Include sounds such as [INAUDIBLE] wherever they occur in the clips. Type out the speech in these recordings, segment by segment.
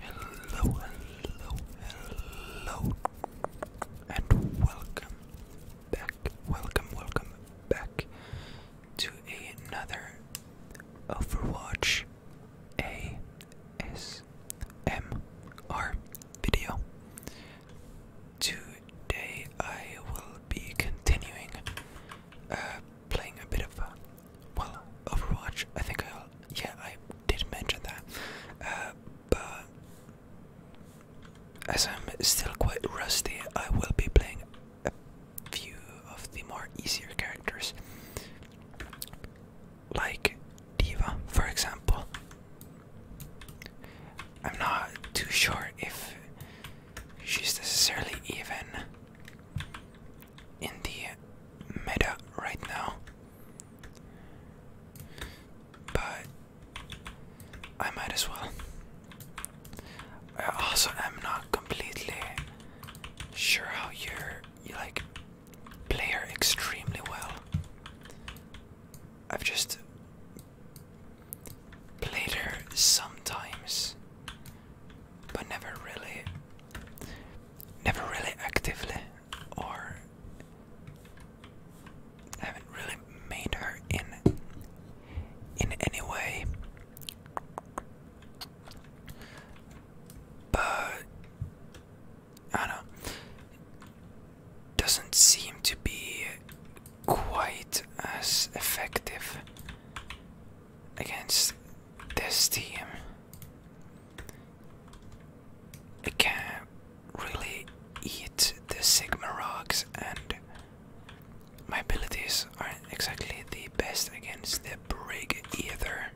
Hello, hello, hello, and welcome back, welcome, welcome back to another Overwatch ASMR video. Today I will be continuing uh, playing a bit of uh, well, Overwatch. I think I yeah I did mention that, uh, but as I'm still quite rusty, I will be playing a few of the more easier characters, like Diva, for example. I'm not too sure if she's necessarily even in the meta right now. But I might as well. I also am not completely sure how you're you like player extremely well. I've just played her sometimes but never really never really actively or haven't really made her in in any way but I don't doesn't seem to be quite as effective against this team. I can't really eat the Sigma rocks, and my abilities aren't exactly the best against the Brig either.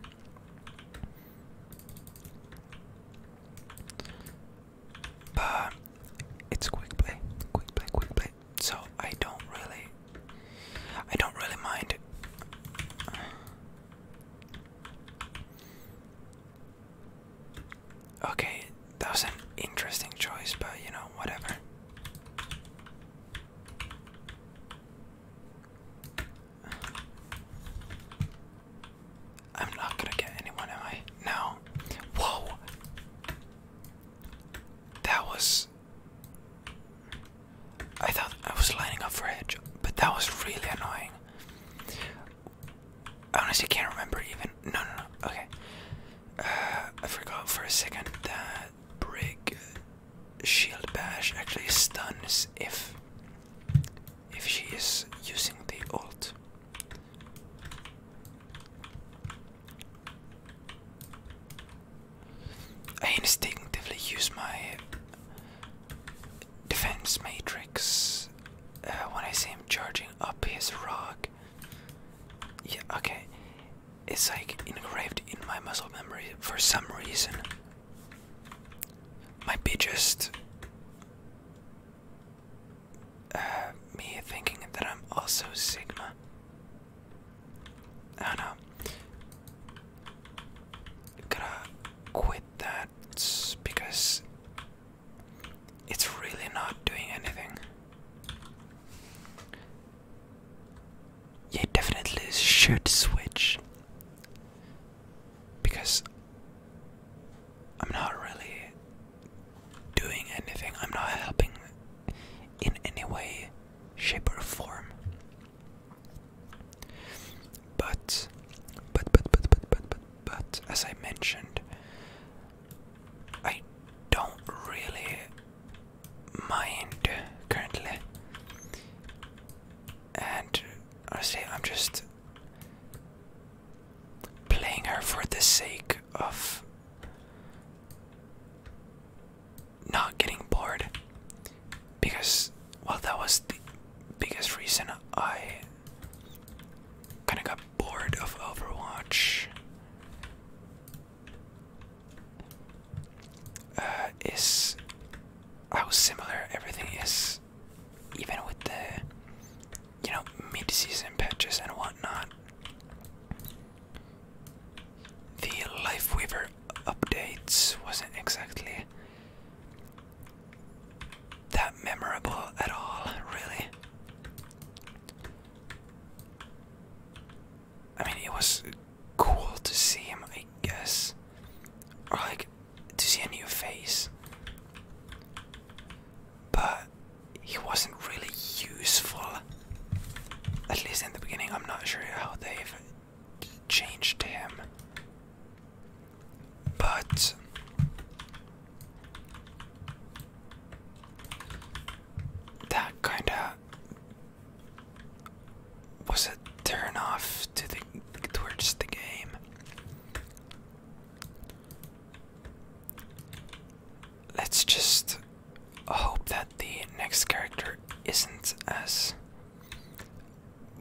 But it's quick play, quick play, quick play. So I don't really, I don't really mind. Okay, that was an interesting choice, but you know, whatever. I'm not gonna get anyone, am I? No. Whoa! That was I thought I was lining up for edge, but that was really annoying. I honestly can't remember even. No, no, no. Okay. Uh, I forgot for a second that break shield bash actually stuns if if she is using the alt. I instinctively use my defense matrix uh, when I see him charging up his rock. Yeah, okay. It's like engraved in my muscle memory for some reason. Might be just uh, me thinking that I'm also Sigma. I don't know. Gonna quit that because it's really not doing anything. You definitely should switch because I'm not really doing anything, I'm not helping in any way, shape, or form. But, but, but, but, but, but, but, as I mentioned, I don't really mind currently. And I say I'm just playing her for the sake of not getting bored because well that was the biggest reason I kind of got bored of Overwatch uh, is how similar everything is even with the you know mid-season patches and whatnot the life weaver updates wasn't exactly that memorable at all, really. I mean, it was cool to see him, I guess, or like to see a new face, but he wasn't really useful. At least in the beginning, I'm not sure how they've changed him. But that kinda was a turn off to the towards the game. Let's just hope that the next character isn't us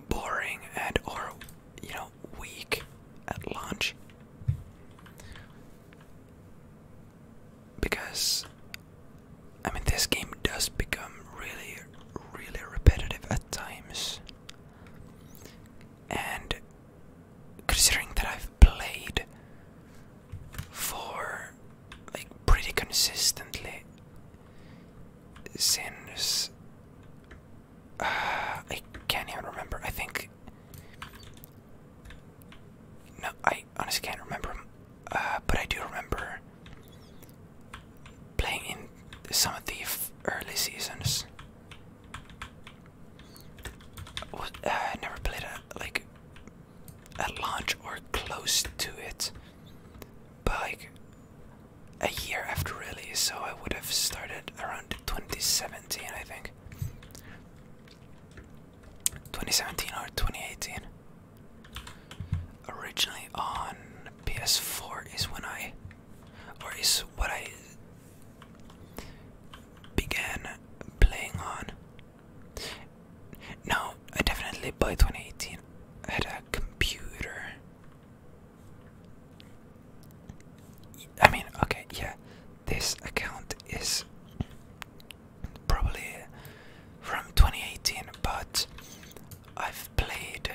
boring and or you know weak at launch. because I mean this game does become really really repetitive at times and considering that I've played for like pretty consistently Sanders. Uh, I can't even remember. I think. No, I honestly can't remember. Uh, but I do remember playing in some of the early seasons. Uh, I never played at like at launch or close to it but like a year after release, so I would have started around 2017, I think. 2017 or 2018. Originally on PS4 is when I, or is what I began playing on. No, I definitely by 2018 I had a computer. I mean, okay, yeah, this account is probably from 2018, but I've played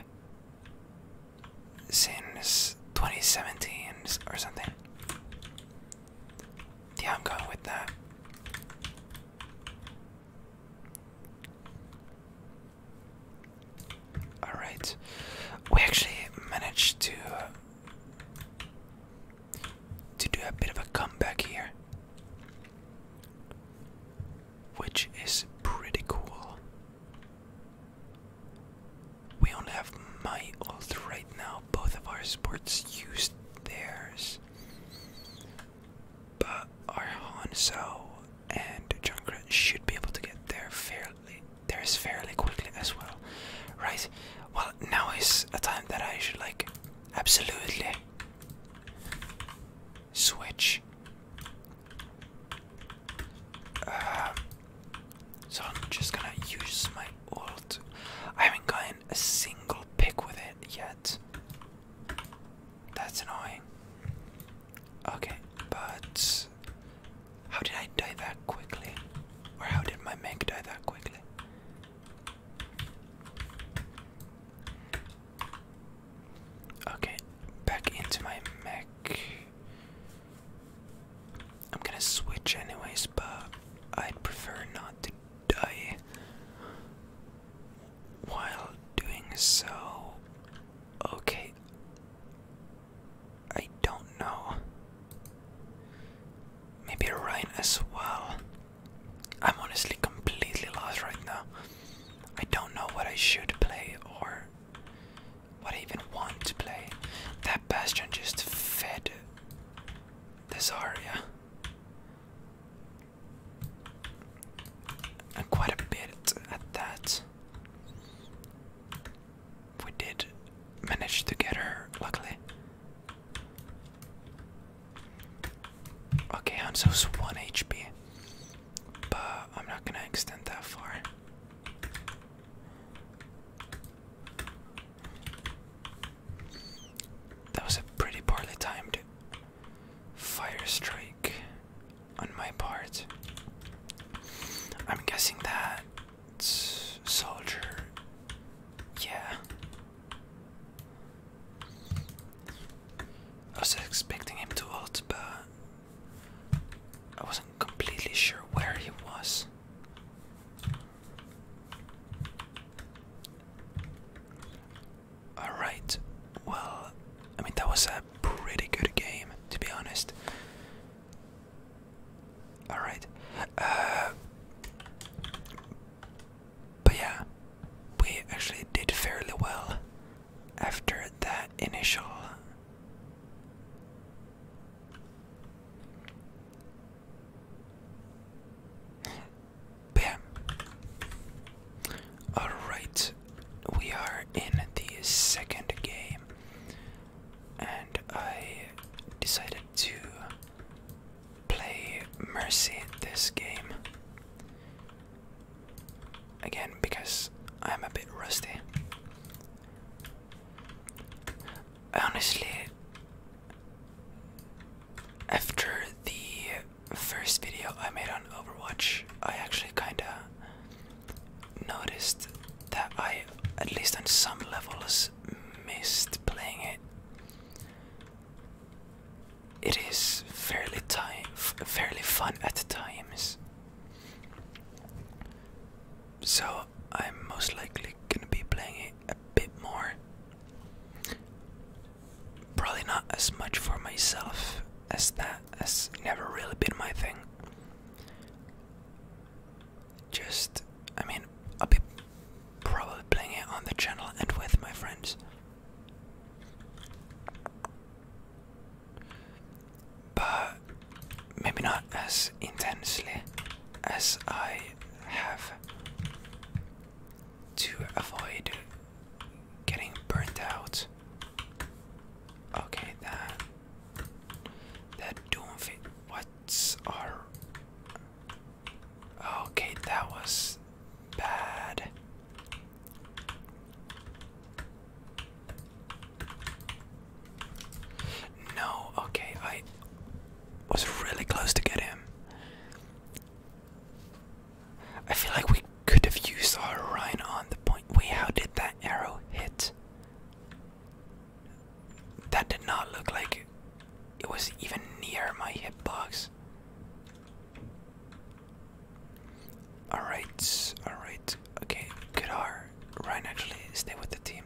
since 2017 or something. Yeah, I'm going with that. Alright. We actually managed to to do a bit of a comeback here. Which is pretty cool. We only have my ult right now. Both of our sports used theirs. But our Hanzo and Junkrat should be able to get there fairly there's fairly quickly as well. Right. Well now is a time that I should like absolutely switch. Uh, so I'm just gonna use my alt. I haven't gotten a single pick with it yet. That's annoying. Okay, but how did I die that quickly? Or how did my mech die that quickly? Okay, back into my mech. I'm gonna switch anyways, but I'd prefer not to die while doing so. Okay. I don't know. Maybe Ryan as well. I'm honestly completely lost right now. I don't know what I should play or what I even want to play. That Bastion just fed this Zarya and quite a bit at that. We did manage to get her, luckily. Okay, Hanzo's 1 HP, but I'm not gonna extend that far. That was a pretty poorly timed Fire strike on my part. I'm guessing that soldier. Yeah. I was expecting him to ult, but I wasn't completely sure where he was. Alright, well, I mean, that was a pretty good game, to be honest. Alright, uh, but yeah, we actually did fairly well after that initial. Bam. Alright, we are in the second game, and I decided to play Mercy this game. Again, because I'm a bit rusty. Honestly, after the first video I made on Overwatch, I actually kinda noticed that I, at least on some levels, missed playing it. It is fairly time, fairly fun at times. So I'm most likely gonna be playing it a bit more. Probably not as much for myself as that has never really been my thing. Just, I mean, I'll be probably playing it on the channel and with my friends. But maybe not as intensely as I have to avoid getting burnt out. Okay, that that don't Okay, that was bad. No, okay, I was really close to get him. I feel like we could have used our Ryan on the point. We how did that arrow hit? That did not look like it was even near my hitbox. Alright, alright. Okay, good R. Ryan actually stay with the team.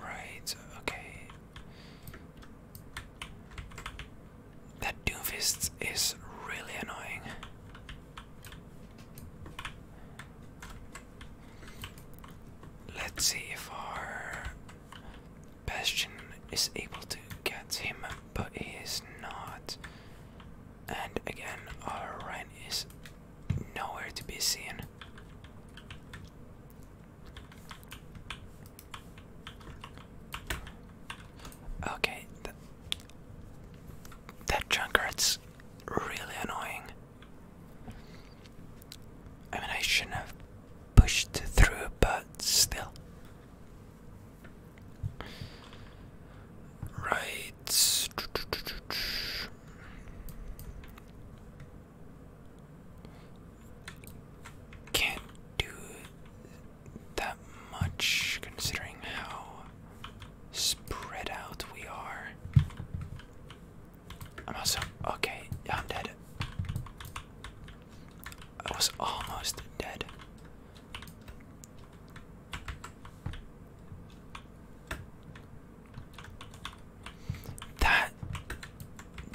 Right, okay. That Doomfist is really annoying. Let's see if our Bastion is able to get him, but he is not. And again, our Rhine is nowhere to be seen. Okay, that, that drunkard's really annoying. I mean, I shouldn't have pushed through, but still. Right can't do that much considering how spread out we are. I'm also okay, I'm dead. I was almost dead. That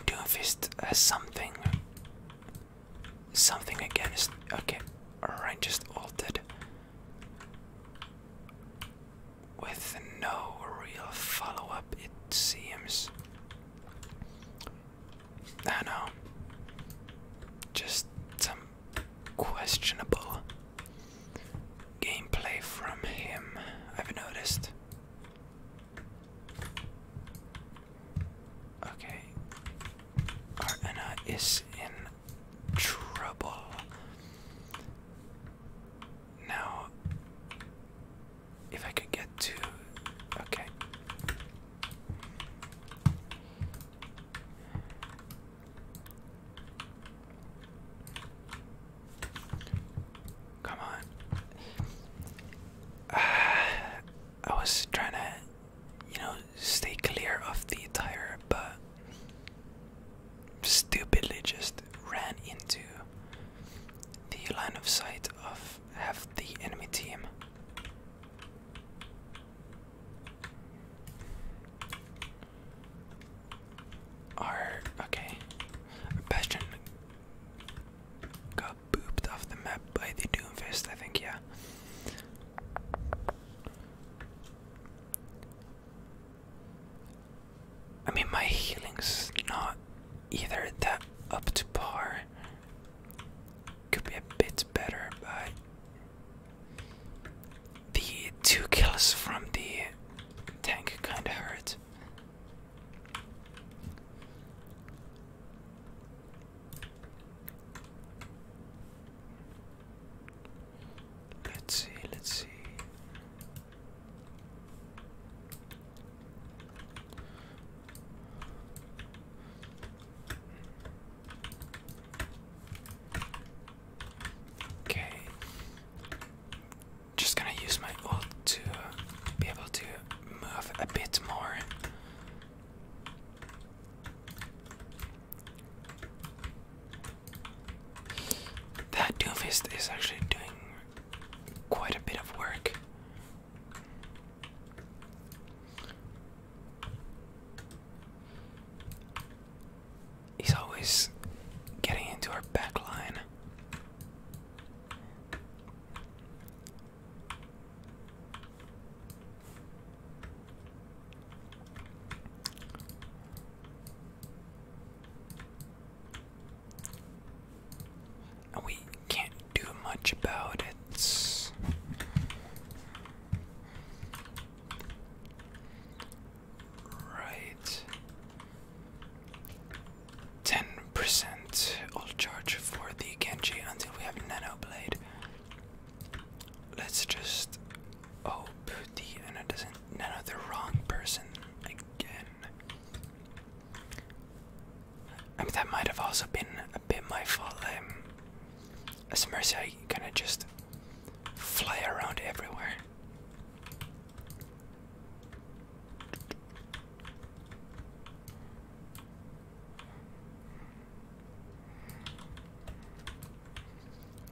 Doomfist has something. Something against. Okay, alright, just altered. With no real follow up, it seems. I know. Just some questionable gameplay from him, I've noticed. Okay. Our is in trouble. Now, if I could get to. Okay. Come on. [SIGHS] I was trying to, you know, stay clear of the tire, but stupidly just ran into the line of sight of half the enemy team. Our okay, Bastion Got booped off the map by the Doomfist, I think, yeah. I mean, my healing's not either that up to par. Could be a bit better, but the two kills from the tank kind of hurt. Let's see, let's see. Okay just gonna use my ult to be able to move a bit more. That Doomfist is actually doing quite a bit of work. He's always getting into our back we can't do much about it. Right. 10% ult charge for the Genji until we have Nano Blade. Let's just hope the Nano doesn't Nano the wrong person again. I mean, that might have also been a bit my fault. Um, as Mercy, I kind of just fly around everywhere.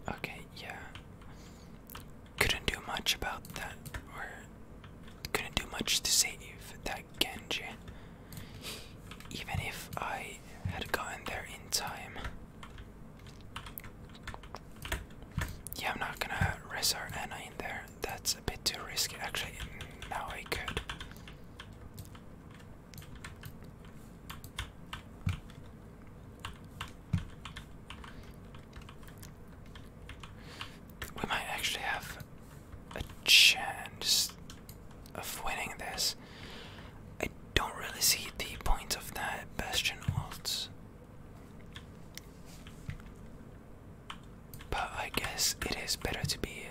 Okay, yeah. Couldn't do much about that, or couldn't do much to save that Genji. Even if I had gotten there in time. Yeah, I'm not gonna res our Anna in there that's a bit too risky. Actually, now I could. We might actually have a chance of winning this. I don't really see the point of that Bastion but I guess it is better to be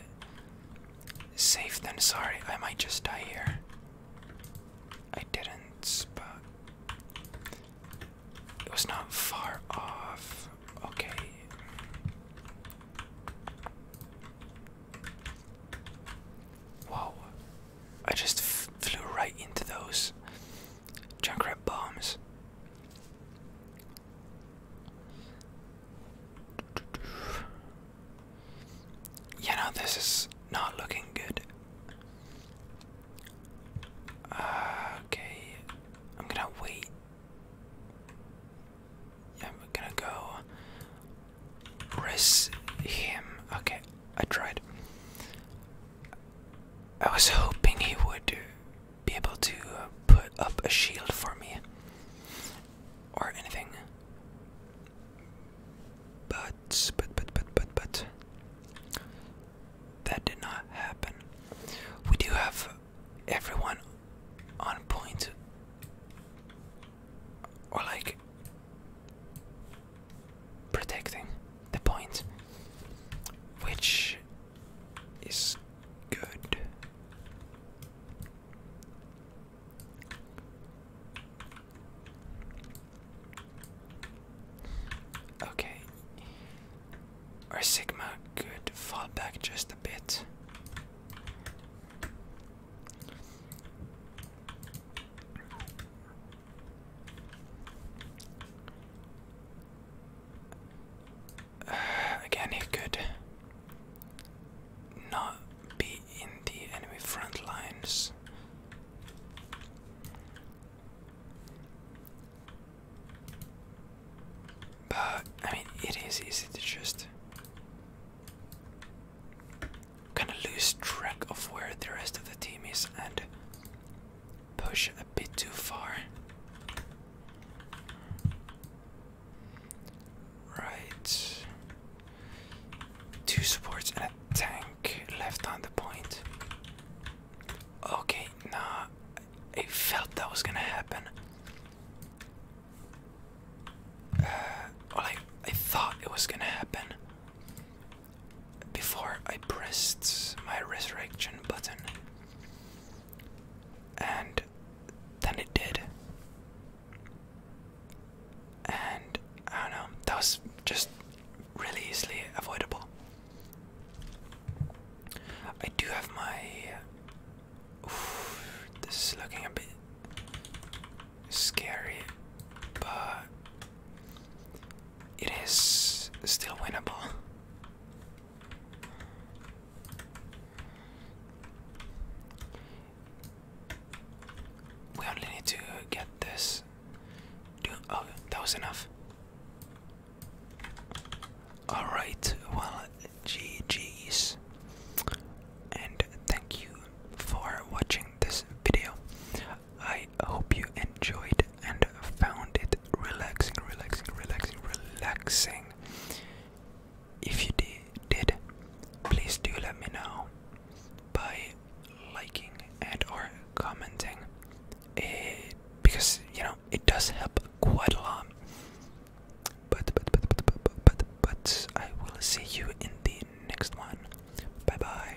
safe than sorry. I might just die here. I didn't, but it was not far off. Okay. Whoa. I just flew right into those junkrat bombs. You know, this is not looking good. okay, I'm gonna wait. I'm gonna go press him. Okay, I tried. I was hoping he would be able to put up a shield for me or anything. But, but, but, but, but, but, that did not happen. We do have everyone on point. Or, like, protecting the point, which is good. Okay. Our Sigma could fall back just a bit. [SIGHS] again, he could not be in the enemy front lines. But I mean, it is easy to just kind of lose track of where the rest of the team is and push a bit too far. Right. Two supports and a tank left on the point. Okay, nah. I felt that was gonna happen. Uh, well, I, I thought it was gonna happen before I pressed my resurrection button. And then it did. And I don't know, that was just really easily avoidable. I do have my. this is looking a bit scary, but it is still winnable. We only need to get this. oh, that was enough. Alright, well, GG's. And thank you for watching this video. I I hope you enjoyed and found it relaxing, relaxing, relaxing, relaxing. If you did, please do let me know by liking and or commenting. because you know it does help quite a lot. but but but but but, but, but I will see you in the next one. Bye bye.